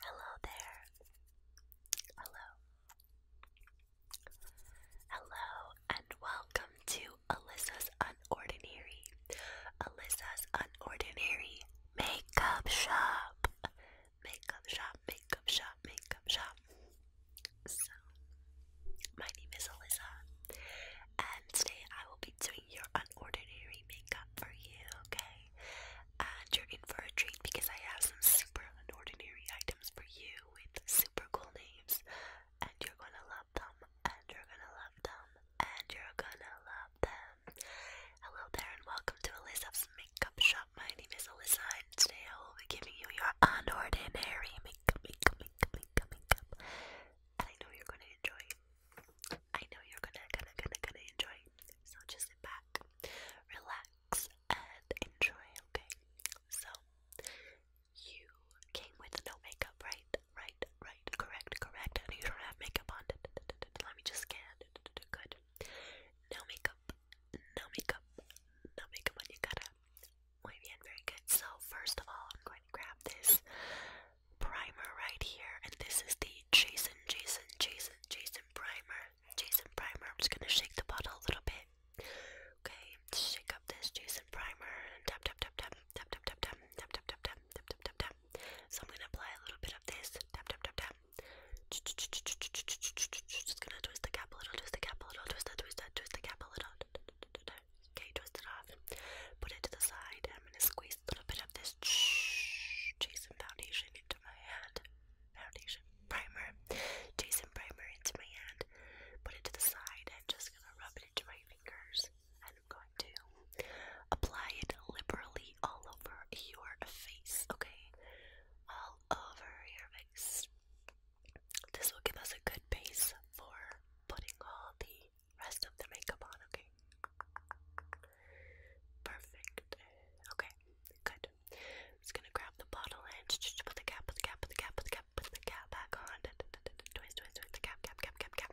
Hello there. Hello. Hello welcome to Alyssa's Unordinary. Alyssa's Unordinary Makeup Shop. Makeup Shop, Makeup Shop, Makeup Shop. So, my name is Alyssa, and today I will be doing your unordinary makeup for you, okay? And you're in for a treat because I have some super unordinary items for you with super cool names and you're gonna love them, and you're gonna love them, and you're gonna love them. Hello there, and welcome to Alyssa's Makeup Shop. My name is Alyssa, and today I will be giving you your unordinary makeup, makeup, makeup, makeup, makeup. And I know you're gonna enjoy. I know you're gonna, gonna, gonna, gonna enjoy. So just sit back, relax, and enjoy, okay? So, you came with no makeup, right? Right, right, correct, correct. And you don't have makeup on. Let me just scan. Good. No makeup, no makeup, no makeup on you. up, to Muy bien, very good. So, first of all, I'm going to grab this primer right here. And this is the Jason, Jason, Jason, Jason primer. Jason primer. I'm just gonna shake the bottle a little bit. Okay, shake up this Jason primer and tap, tap, tap, tap tap tap tap tap tap tap tap tap tap tap tap tap. So I'm gonna apply a little bit of this. Tap tap tap tap. Just gonna twist the cap a little, twist the cap a little, twist that, twist that, twist the cap a little. Okay, twist it off. Put it to the side. I'm gonna squeeze a little bit of this Jason foundation into my hand. Foundation primer. Jason primer into my hand. Put it to the side. I'm just gonna rub it into my fingers. I I'm going to apply it liberally all over your face, okay? All over your face. This will give us a good base for putting all the rest of the makeup on, okay? Perfect. Okay, good. just gonna grab the bottle and put the cap, put the cap, put the cap, put the cap, put the cap back on. Twist, twist, twist the cap, cap, cap, cap, cap.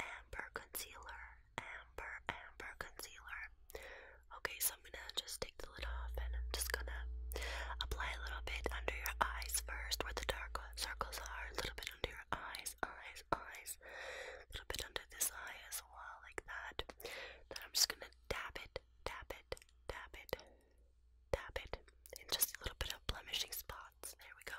Amber Concealer. Amber, Amber Concealer. Okay, so I'm gonna just take the lid off and I'm just gonna apply a little bit under your eyes first, where the dark circles are. A little bit under your eyes, eyes, eyes. A little bit under this eye as well, like that. Then I'm just gonna dab it, dab it, dab it, dab it, and just a little bit of blemishing spots. There we go.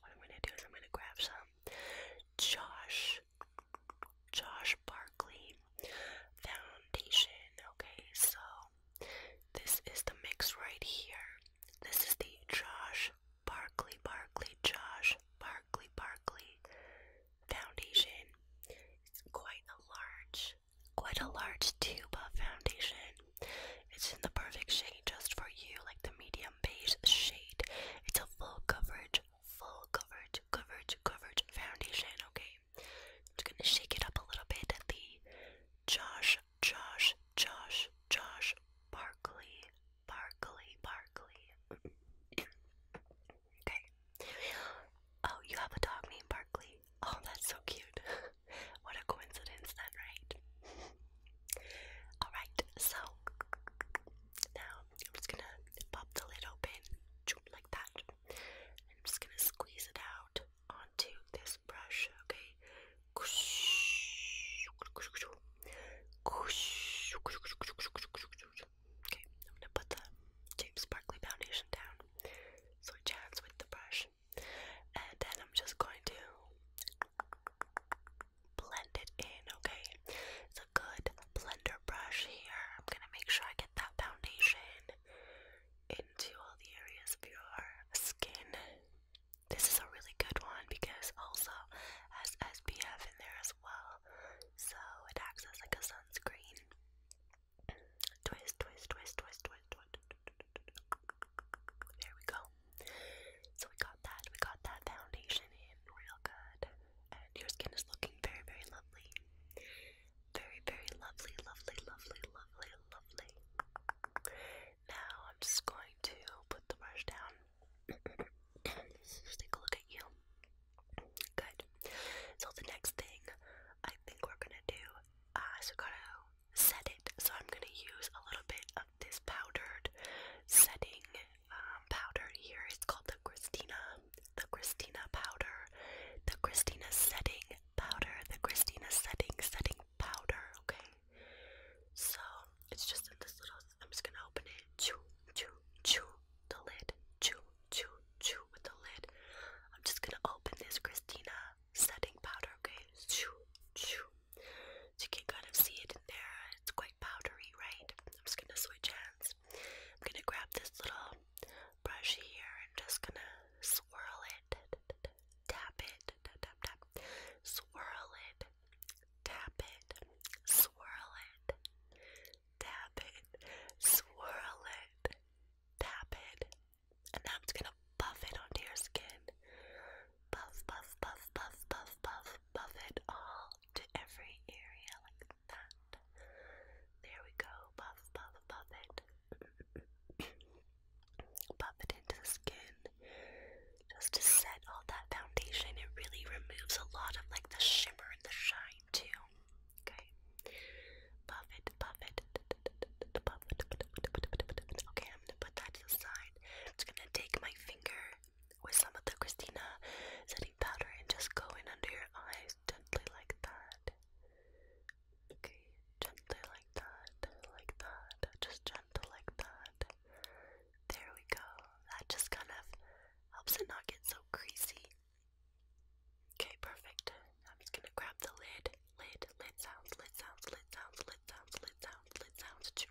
what I'm gonna do is I'm gonna grab some Josh Josh Barkley foundation. Okay, so this is the mix right here. This is the Josh Barkley Barkley Josh Barkley Barkley foundation. It's quite a large, quite a large tube of foundation. It's in the perfect shade just for you, like the medium beige shade. It's a full coverage, full coverage, coverage, coverage foundation, okay? I'm just gonna shake it up a little bit at the Josh, Josh, Josh, Josh Barkley, Barkley, Barkley. okay. Oh, you have a dog named Barkley. Oh, that's so cute. what a coincidence, then, right? Alright, so now I'm just gonna pop the lid open like that. I'm just gonna squeeze it out onto this brush, okay? Okay, I'm gonna put the James Barkley foundation down. So it chance with the brush. And then I'm just going to blend it in, okay? It's a good blender brush here. I'm gonna make sure I get that foundation into all the areas of your skin. This is a really good one because also has SPF in there as well. So it acts as like a sunscreen. Twist, twist, twist, twist, twist, twist. There we go. So we got that. We got that foundation in real good. And your skin is looking very, very lovely. Very, very lovely, lovely, lovely, lovely, lovely. Now I'm just going to put the brush down. just take a look at you. Good. So the next thing I think we're gonna do is uh, we're gonna set it. So I'm gonna use a little bit this powdered setting um, powder here. It's called the Christina, the Christina powder, the Christina setting powder, the Christina setting setting powder. Okay, so it's just in this little. I'm just gonna open it. Chew, chew, chew the lid. Chew, chew, chew with the lid. I'm just gonna open this Christina setting powder. Okay, chew, chew. So you can kind of see it in there. It's quite powdery, right? I'm just gonna switch hands. I'm gonna grab this little brush here and just gonna swirl it, tap it, tap, tap, swirl it, tap it, swirl it, tap it, swirl it, tap it, and now I'm just gonna buff it onto your skin. Buff, buff, buff, buff, buff, buff, buff it all to every area like that. There we go. Buff, buff, buff it. puff it into the skin. Just to set all that foundation. It really removes a lot of like the shimmer and the shine too. Okay. Puff it, puff it. Puff it. Okay, I'm gonna put that to the side. I'm just gonna take my finger with some of the Christina setting powder and just go in under your eyes gently like that. Okay, gently like that, like that, just gentle like that. There we go. That just kind of helps it not get so greasy. Okay, perfect. I'm just gonna grab the lid, lid, lid sounds, lid sounds, lid sounds, lid sounds, lid sounds, lid sounds.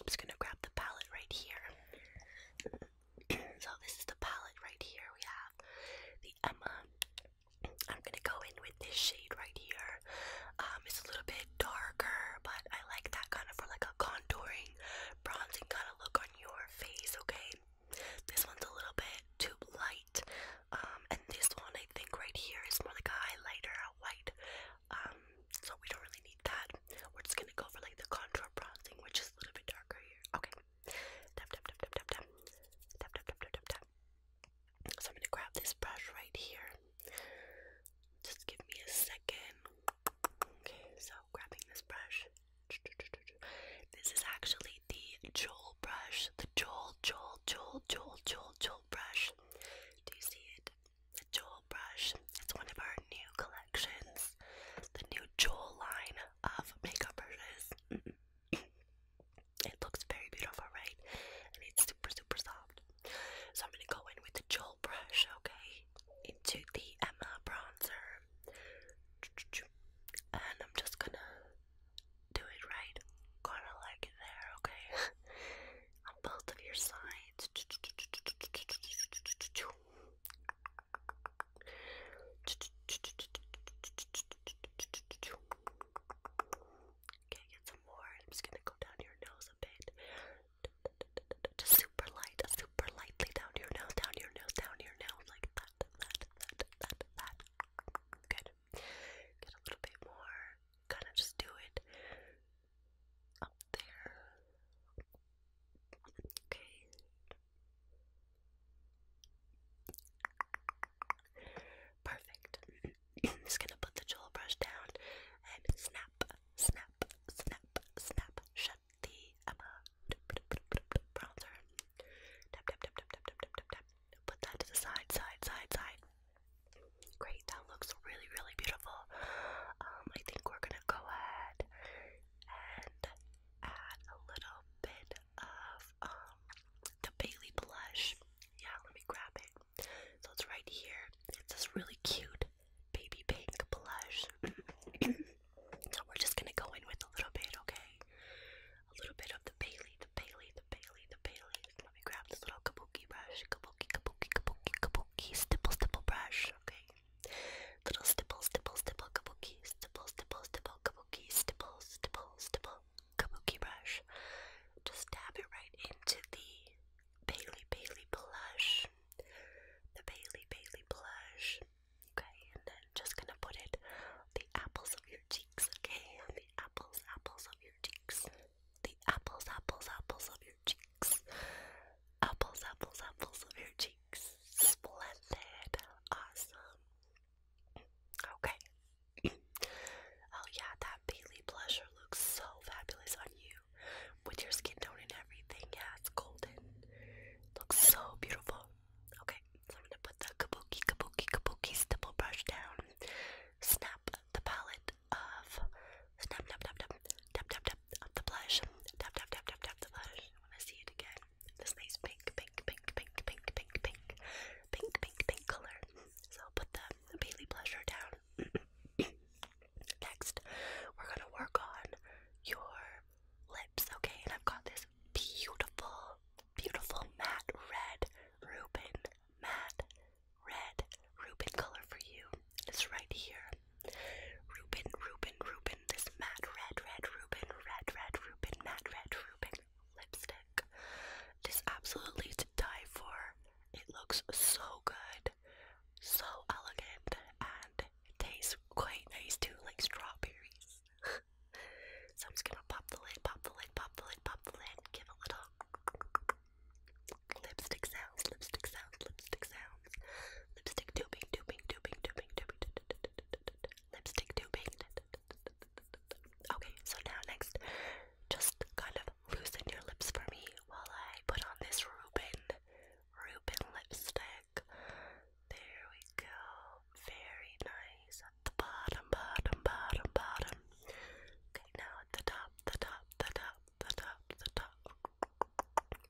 I'm just gonna grab the palette right here. so this is the palette right here. We have the Emma. I'm gonna go in with this shade right here. Um, it's a little bit darker, but I like that kind of for like a contouring, bronzing kind of look on your face. Okay, this one's a little bit too light, um, and this one I think right here is more like a highlighter, a light. Um, so we don't really need that. We're just gonna go for like the contour bronzing, which is a little bit darker here. Okay. Tap tap tap tap tap tap. Tap tap tap tap tap tap. So I'm gonna grab this brush right here. Just give me a second. Okay, so grabbing this brush. This is actually the Joel brush, the Joel, Joel, Joel, Joel, Joel, Joel brush. Do you see it? the Jewel brush. It's one of our new collections, the new Jewel line of makeup brushes. it looks very beautiful, right? And it's super, super soft. So I'm gonna go in with the Jewel brush, okay, into the Emma bronzer, and I'm just gonna do it right, kind of like there, okay, on both of your sides. Okay, get some more. I'm just gonna go down your nose a bit. Just super light, super lightly down your nose, down your nose, down your nose, like that, that, that, that, that. Good. Get a little bit more. Kind of just do it up there. Okay. Perfect. just gonna put the jewel brush down and snap, snap, snap, snap. Shut the uh, bronzer. Put that to the side, side, side, side. Great, that looks really, really beautiful. Um, I think we're gonna go ahead and add a little bit of um the Bailey blush. Yeah, let me grab it. So it's right here. It's this really cute baby pink blush. so we're just gonna go in with a little bit, okay? A little bit of the Bailey, the Bailey, the Bailey, the Bailey. Let me grab this little kabuki brush. Kabuki, kabuki, kabuki, kabuki, stipple, stipple brush, okay? Little stipple, stipple, stipple, kabuki, stipple, stipple, stipple, kabuki, stipple, stipple, stipple, kabuki brush. Just dab it right into the Bailey Bailey blush. The Bailey Bailey blush. Okay, and then just gonna put it on the apples of your cheeks, okay? On the apples, apples of your cheeks. The apples, apples, apples of your your cheeks. Apples, apples, apples of your cheeks. Splendid. Awesome. Okay. oh yeah, that Bailey blusher looks so fabulous on you. With your skin tone and everything. Yeah, it's golden. Looks so beautiful. Okay, so I'm gonna put the kabuki kabuki kabuki double brush down. Snap the palette of snap, snap, snap, snap, tap, tap, tap, tap the blush. Tap, tap, tap, tap, tap the blush. I want to see it again. This nice pink, pink, pink, pink, pink, pink, pink, pink, pink, pink color. So I'll put the, the Bailey blusher down. Next, we're gonna work on your lips, okay? And I've got this beautiful, beautiful matte red Reuben, matte red Reuben color for you. It's right here. Ruben, Ruben, Ruben, this matte red, red, Ruben, red, red, Ruben, matte red, Ruben lipstick. This absolutely to die for. It looks so good, so elegant, and it tastes quite nice too, like strawberries. so I'm just gonna pop the lid, pop the lid, pop the lid, pop the lid, give a little lipstick sounds, lipstick sounds, lipstick sounds. Lipstick tubing, tubing, tubing, tubing, tubing, lipstick tubing. Okay, so now next, just kind of loosen your lips for me while I put on this Reuben, Reuben lipstick. There we go. Very nice. the bottom, bottom, bottom, bottom. Okay, now at the top, the top, the top, the top, the top.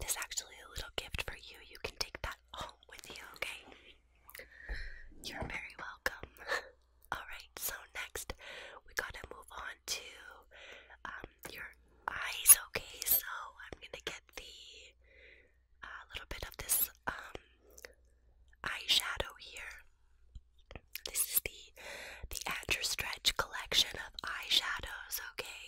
This is actually a little gift for you. You can take that home with you, okay? You're very welcome. Alright, so next we gotta move on to um, your eyes, okay? So I'm gonna get the a uh, little bit of this um, eyeshadow here. This is the the Andrew Stretch collection of eyeshadows. Okay,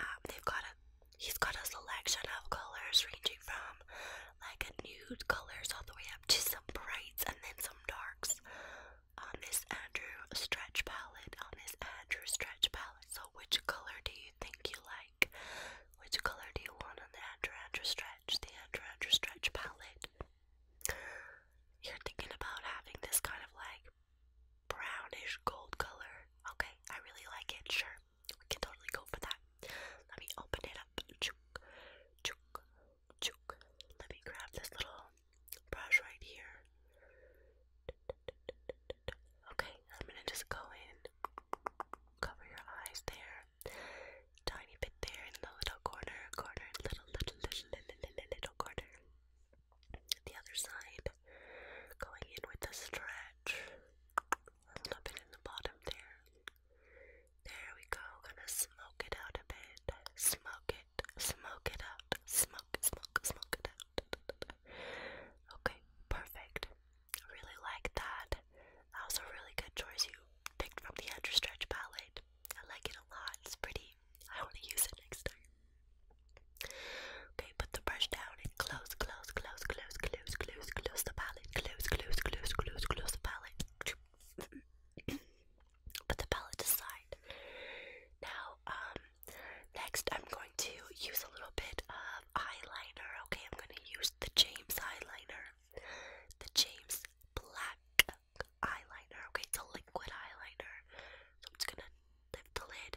um, they've got a He's got a selection of colors ranging from like a nude colors all the way up to some brights and then some darks on uh, this Andrew stretch palette. On uh, this Andrew stretch palette. So, which color do you think you like? Which color do you want on the Andrew Andrew stretch? The Andrew Andrew stretch palette. You're thinking about having this kind of like brownish gold color. Okay, I really like it. Sure. We can totally go for that. Let me open it up. Let me grab this little brush right here. Okay, I'm gonna just go in, cover your eyes there, tiny bit there in the little corner, corner, little, little, little, little, little, corner. The other side, going in with the stretch a little in the bottom there. There we go. Gonna smoke it out a bit. Smoke it. Smoke it out. Smoke, smoke, smoke it out. Okay, perfect. I really like that. That was a really good choice you picked from the Andrew Stretch palette. I like it a lot. It's pretty. I want to use it next time. Okay, put the brush down and close, close, close, close, close, close, close the palette. Close, close, close, close, close the palette. put the palette aside. Now, um, next I'm going to use a little bit of eyeliner. Okay, I'm going to use the James eyeliner. The James black eyeliner. Okay, it's a liquid eyeliner. So I'm just going to lift the lid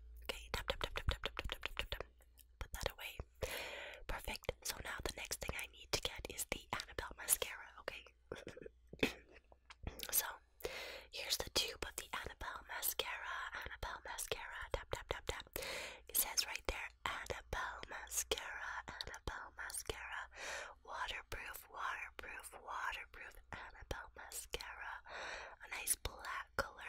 Okay, Put that away. Perfect. So now the next thing I need to get is the Annabelle mascara. Okay. so here's the tube of the Annabelle mascara. Annabelle mascara. Tap tap tap tap. It says right there, Annabelle mascara. Annabelle mascara. Waterproof. Waterproof. Waterproof. Annabelle mascara. A nice black color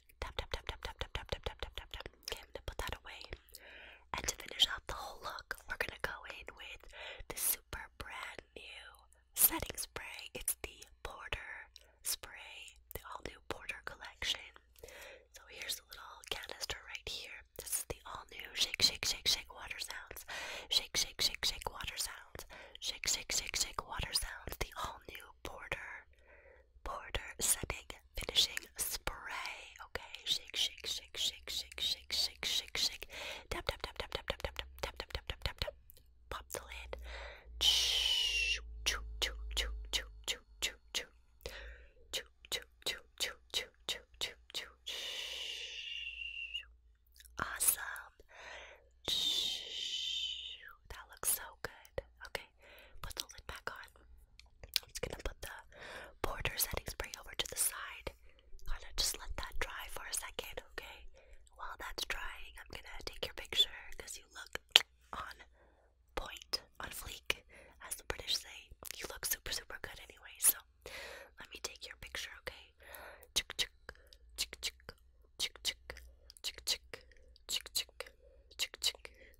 Tap, tap, tap, tap, tap, tap, tap, tap, tap, tap, tap. Okay, I'm gonna put that away. And to finish off the whole look, we're gonna go in with the super brand new setting spray. It's the Border Spray, the all new Border collection. So here's a little canister right here. This is the all new shake, shake, shake, shake water sounds. Shake, shake, shake, shake water sounds. Shake, shake, shake, shake water sounds. The all new Border border setting finishing spray. Okay, shake, shake, shake, shake, shake, shake, shake, shake, shake. Tap, tap, tap, tap, tap, tap, tap, tap, tap, tap, tap, tap, tap. Pop the lid. Choo, choo, choo, choo, choo, choo, choo, choo. Choo, choo, choo, choo, choo, choo, choo, choo. Awesome. That looks so good. Okay. Okay, put the lid back on. I'm just gonna put the border setting spray over to the side. Gonna just let that dry for a second, okay? While that's drying, I'm gonna take your picture because you look on point, on fleek, as the British say. You look super, super good anyway, so let me take your picture, okay? Chick chick chick chick chick chick chick chick chick chick chick chick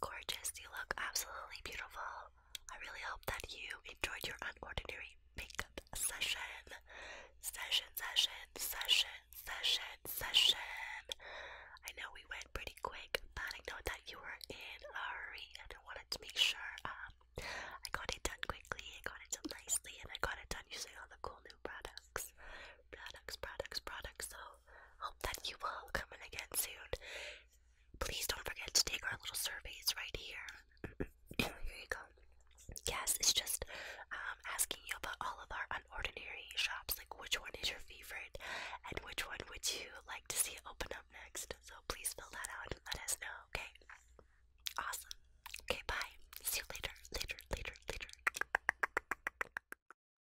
Gorgeous, you look absolutely beautiful. I really hope that you enjoyed your unordinary makeup session. Session, session, session, session, session. I know we went pretty quick, but I know that you were in a hurry and I wanted to make sure um, I got it done quickly, I got it done nicely, and I got it done using all the cool new products products, products, products. So hope that you will come in again soon. Please don't forget to take our little surveys right here. here you go. Yes, it's just um, asking you about all of our unordinary shops, like which one is your favorite and which one would you like to see open up next. So please fill that out and let us know, okay? Awesome. Okay, bye. See you later, later, later, later.